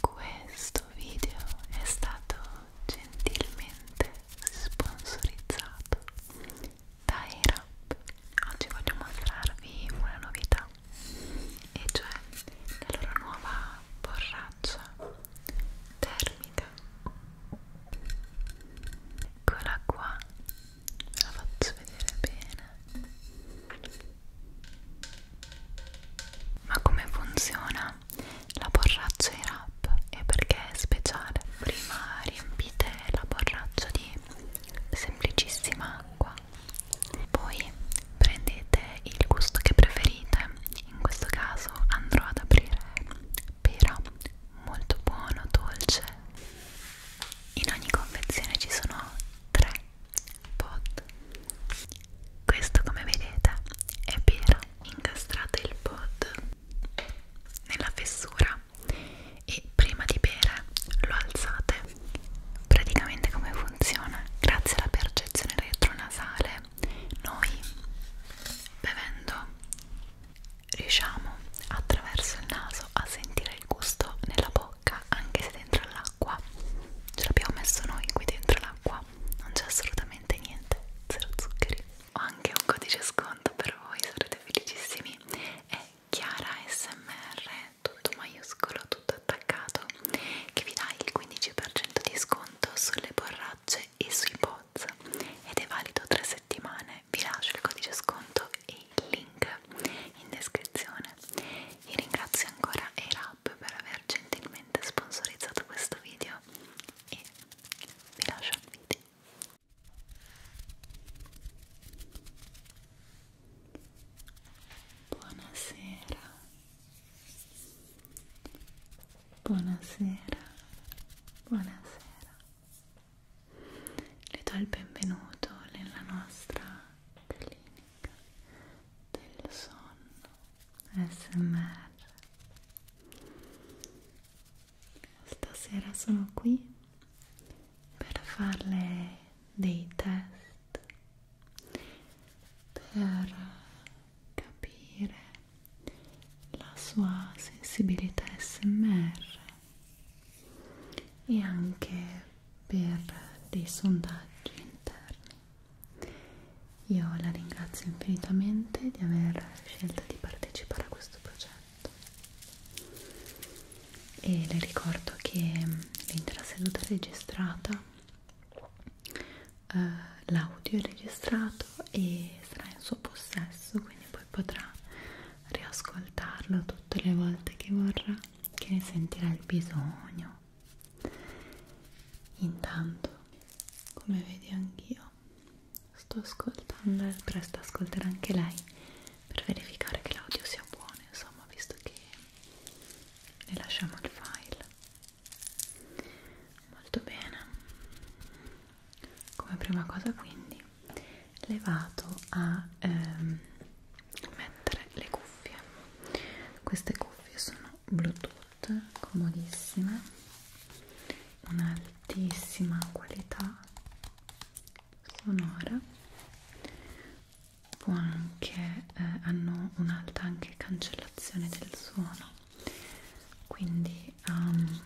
Questo video è stato gentilmente sponsorizzato da Erap. Oggi voglio mostrarvi una novità, e cioè la loro nuova borraccia termica eccola qua ve la faccio vedere bene ma come funziona la borraccia di rap e perché è speciale prima riempite la borraccia di semplicissima acqua poi prendete il gusto che preferite in questo caso andrò ad aprire pera molto buono, dolce in ogni confezione ci sono tre pot questo come vedete è pera incastrate il pot nella fessura e prima di bere lo alzate praticamente come funziona grazie alla percezione retronasale noi bevendo riusciamo attraverso il naso a sentire il gusto nella bocca anche se dentro l'acqua ce l'abbiamo messo noi qui dentro l'acqua non c'è assolutamente niente zero zuccheri ho anche un codice sconto per voi sarete felicissimi è chiara smr tutto maiuscolo tutto attaccato che vi dà il 15% di sconto sulle borracce tracce e sui pods ed è valido 3 settimane. Vi lascio il codice sconto e il link in descrizione. Io ringrazio ancora Airhub per aver gentilmente sponsorizzato questo video e vi lascio al video. Buonasera Buonasera, buonasera. Le do il benvenuto nella nostra clinica del sonno SMR. Stasera sono qui per farle dei test per capire la sua sensibilità SMR e anche per dei sondaggi interni. Io la ringrazio infinitamente di aver scelto di partecipare a questo progetto e le ricordo che l'intera seduta è registrata, eh, l'audio è registrato tutto e sarà in suo possesso quindi poi potrà riascoltarlo tutte le volte che vorrà che ne sentirà il bisogno intanto come vedi anch'io sto ascoltando e presto ascolterà anche lei per verificare che l'audio sia buono insomma visto che ne lasciamo il file molto bene come prima cosa quindi le vado a ehm, mettere le cuffie queste cuffie sono bluetooth comodissime un'altissima qualità sonora può anche eh, hanno un'alta anche cancellazione del suono quindi um,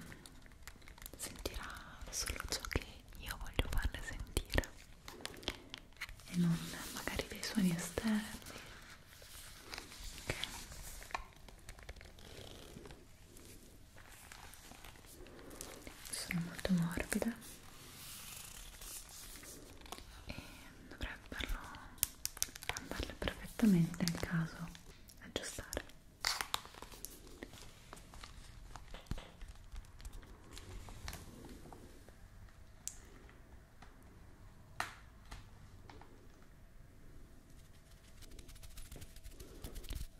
sentirà solo ciò che io voglio farle sentire e non magari dei suoni esterni okay. sono molto morbide e dovrebbero andarle perfettamente nel caso aggiustare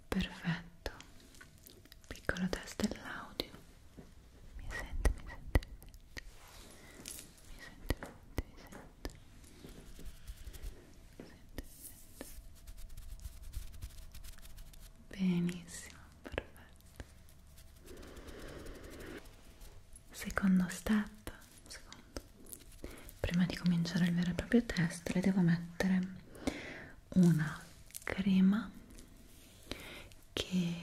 perfetto piccolo test dell'audio mi sente mi sente mi sente mi sente mi sente senti, senti. benissimo, perfetto secondo step secondo. prima di cominciare il vero e proprio test le devo mettere una crema che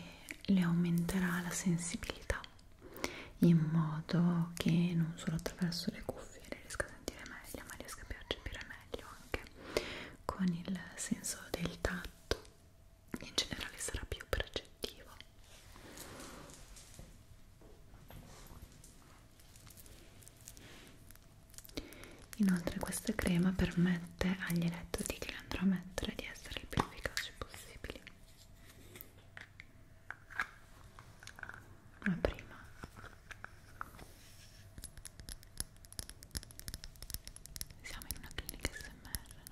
le aumenterà la sensibilità in modo che non solo attraverso le cuffie riesca a sentire meglio, ma riesco a percepire meglio anche con il senso del tatto, in generale sarà più percettivo. Inoltre questa crema permette agli elettodi che le andrò a mettere di essere il più efficaci possibili ma prima siamo in una clinica smr no?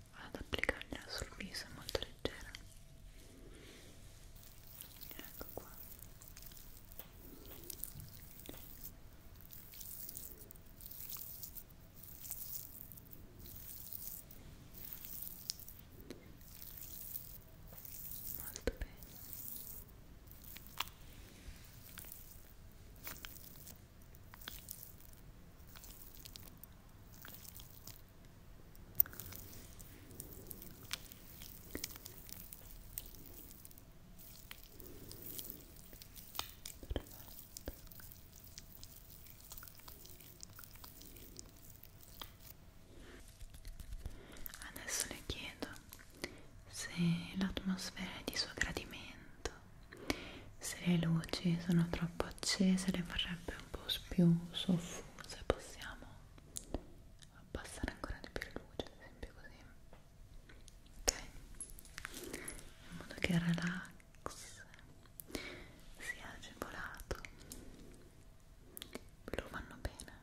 ad applicargliela sul viso, è molto leggera ecco qua molto bene Adesso le chiedo se l'atmosfera è di suo gradimento, se le luci sono troppo accese, le vorrebbe po' più soffusa e possiamo abbassare ancora di più la luce, ad esempio così ok? in modo che il relax sia agevolato lo vanno bene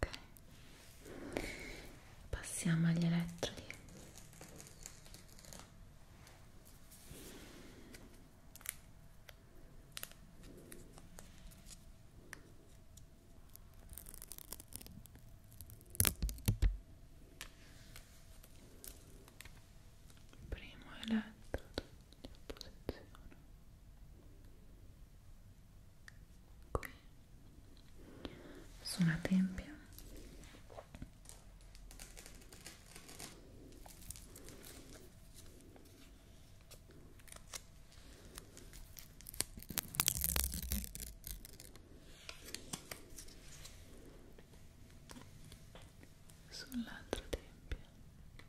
ok? passiamo agli elettrodi primo eletto di opposizione qui su una tempia sull'altro tempio benissimo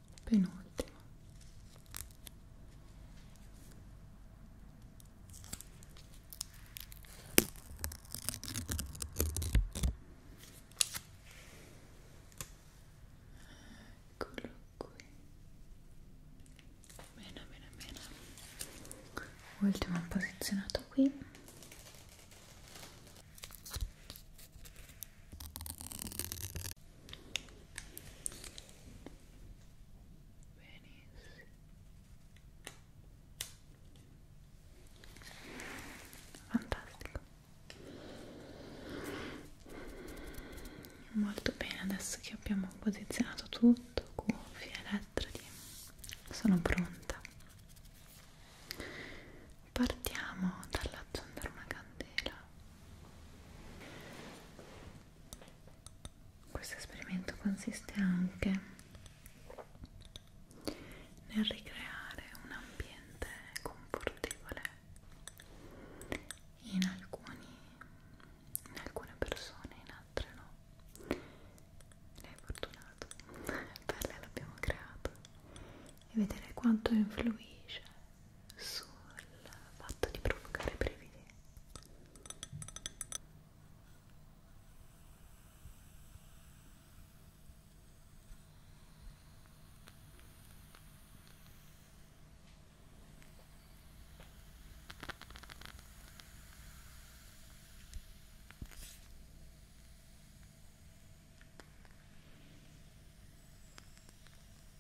penultimo eccolo qui bene bene bene ultimo posizionato qui benissimo fantastico molto bene adesso che abbiamo posizionato tutto cuffie, elettrodi sono pronta partiamo dall'accendere una candela questo esperimento consiste anche nel ricreare un ambiente confortevole in, alcuni, in alcune persone, in altre no. Lei è fortunato, per lei l'abbiamo creato e vedere quanto influisce sul fatto di provocare brividi Ecco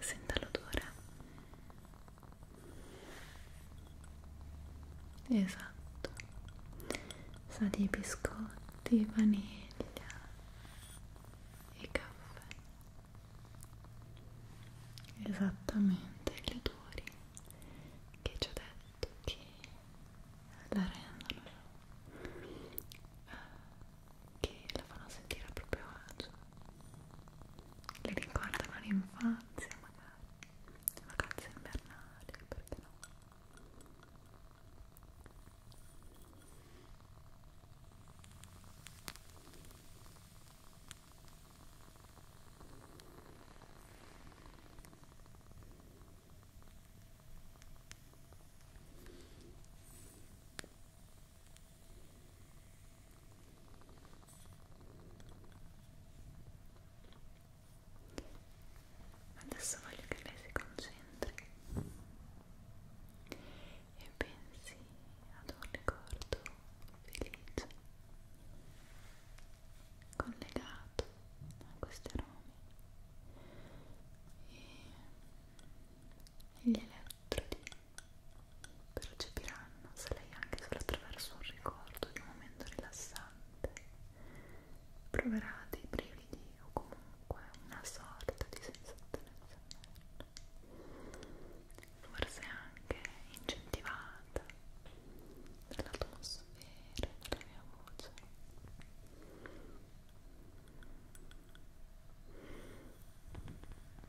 senta l'odore esatto sa di biscotti, vaniglia e caffè esattamente gli odori che ci ho detto che la rendono che la fanno sentire a proprio agio le ricordano l'infanzia magari le vacanze invernali perché no Adesso voglio che lei si concentri e pensi ad un ricordo felice collegato a questi aromi e gli elettrodi percepiranno se lei anche solo attraverso un ricordo di un momento rilassante proverà dei brividi o comunque una sorta di sensazione forse anche incentivata dall'atmosfera, dalla mia voce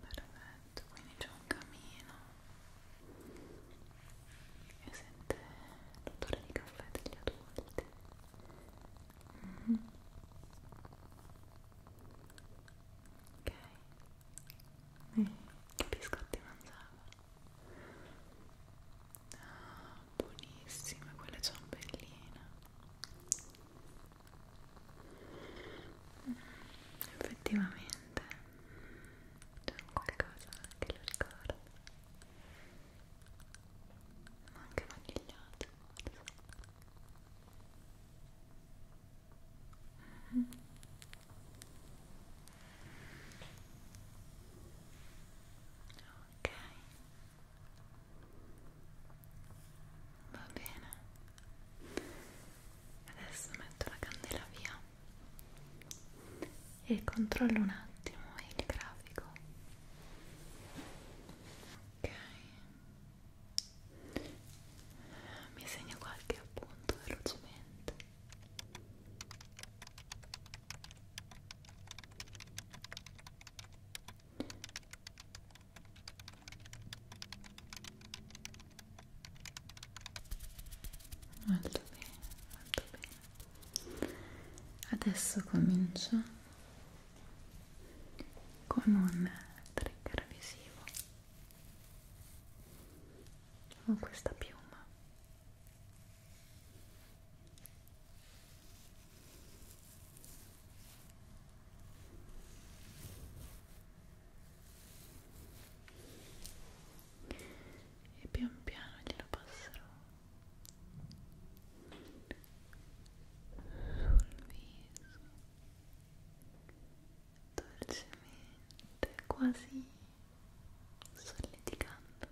Perfetto, quindi c'è un camino e sente l'odore di caffè degli adulti. Mm -hmm. Ok, Mm, che biscotti mangiava? Ah, buonissime quelle ciambelline. Mm, effettivamente c'è qualcosa che lo ricorda. Ma anche vanigliato, forse. Mm -hmm. Ok. Va bene. Adesso metto la candela via e controllo un attimo il grafico. Ok mi segno qualche appunto velocemente molto bene, molto bene adesso comincio con un trigger visivo con questa piuma e pian piano glielo passerò sul viso dolcemente, quasi solleticando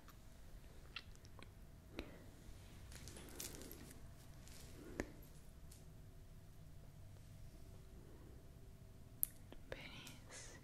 benissimo Benissimo.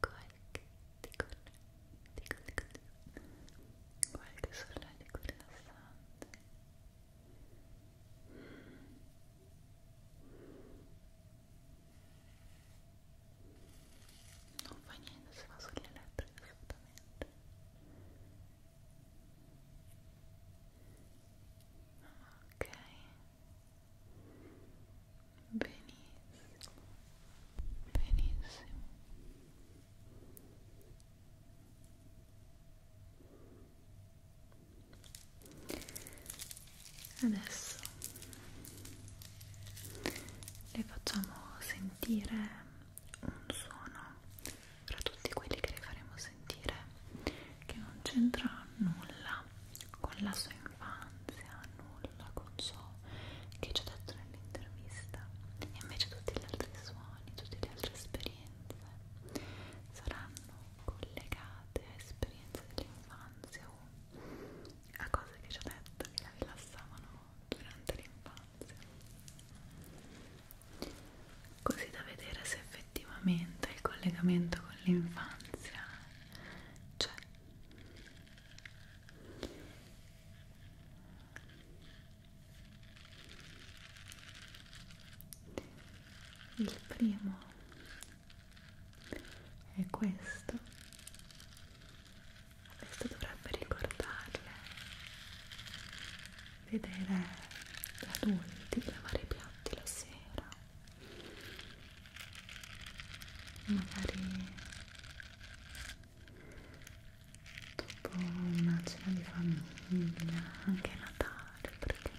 qualche ticone, ticone, ticone, qualche solletico rilassante non fa niente se va sulle lettere assolutamente ok benissimo benissimo adesso le facciamo sentire un suono fra tutti quelli che le faremo sentire che non c'entra nulla con la sua infanzia, nulla con ciò che ci ha detto nell'intervista e invece tutti gli altri suoni, tutte le altre esperienze saranno collegate a esperienze dell'infanzia o a cose che ci ha detto che la rilassavano durante l'infanzia così da vedere se effettivamente il collegamento con l'infanzia c'è il primo è questo. Questo dovrebbe ricordarle. Vedere adulti lavare i piatti la sera. Magari dopo una cena di famiglia, anche Natale, perché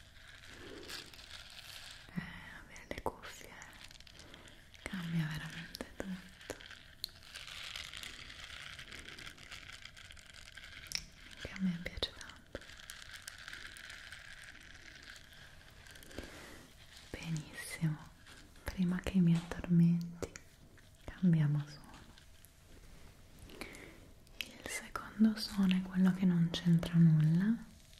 eh, avere le cuffie eh. cambia veramente tutto che a me piace tanto benissimo prima che mi addormenti cambiamo suono il secondo suono è quello che non c'entra nulla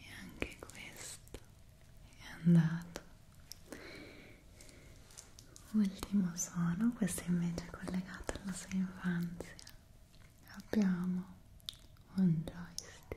E anche questo è andato. Ultimo sono, questo invece è collegato alla sua infanzia abbiamo un joystick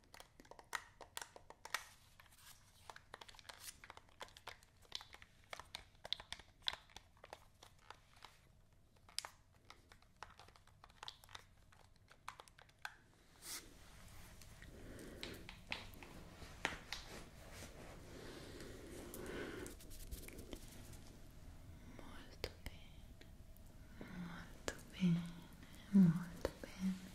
Molto bene, molto bene, molto bene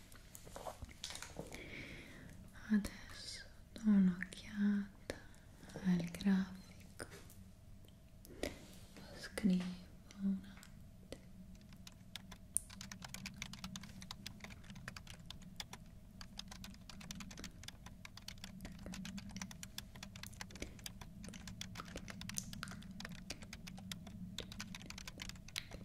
adesso do un'occhiata al grafico lo scrivo un attimo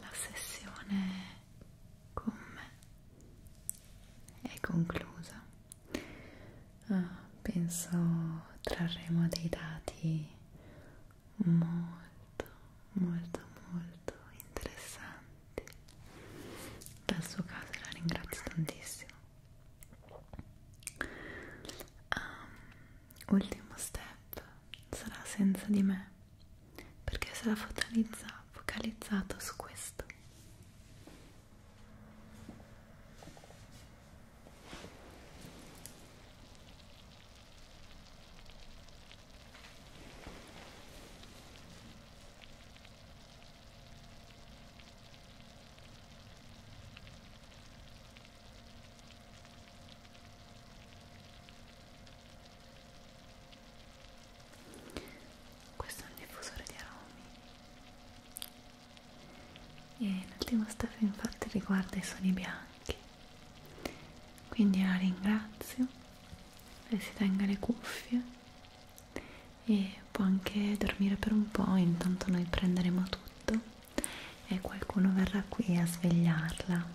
La sessione con me è conclusa. Ah, penso trarremo dei dati molto, molto, molto interessanti. Dal suo caso la ringrazio tantissimo Um, ultimo step sarà senza di me perché sarà focalizza, focalizzato su questo. Questo è un diffusore di aromi. E l'ultimo step infatti riguarda i suoni bianchi. Quindi la ringrazio, lei si tenga le cuffie e può anche dormire per un po', intanto noi prenderemo tutto sotto e qualcuno verrà qui a svegliarla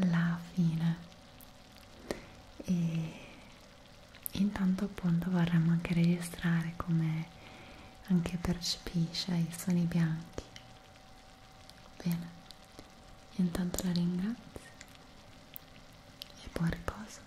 alla fine e intanto appunto vorremmo anche registrare come anche percepisce i suoni bianchi bene intanto la ringrazio e buon riposo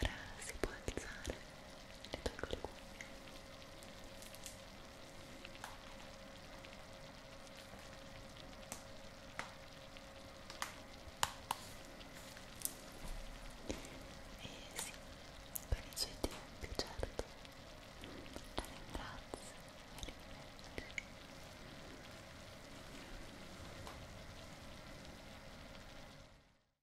Ora si può alzare e tolgo le cuffie. E sì, con i suoi tempi, certo. La ringrazio, la ringrazio.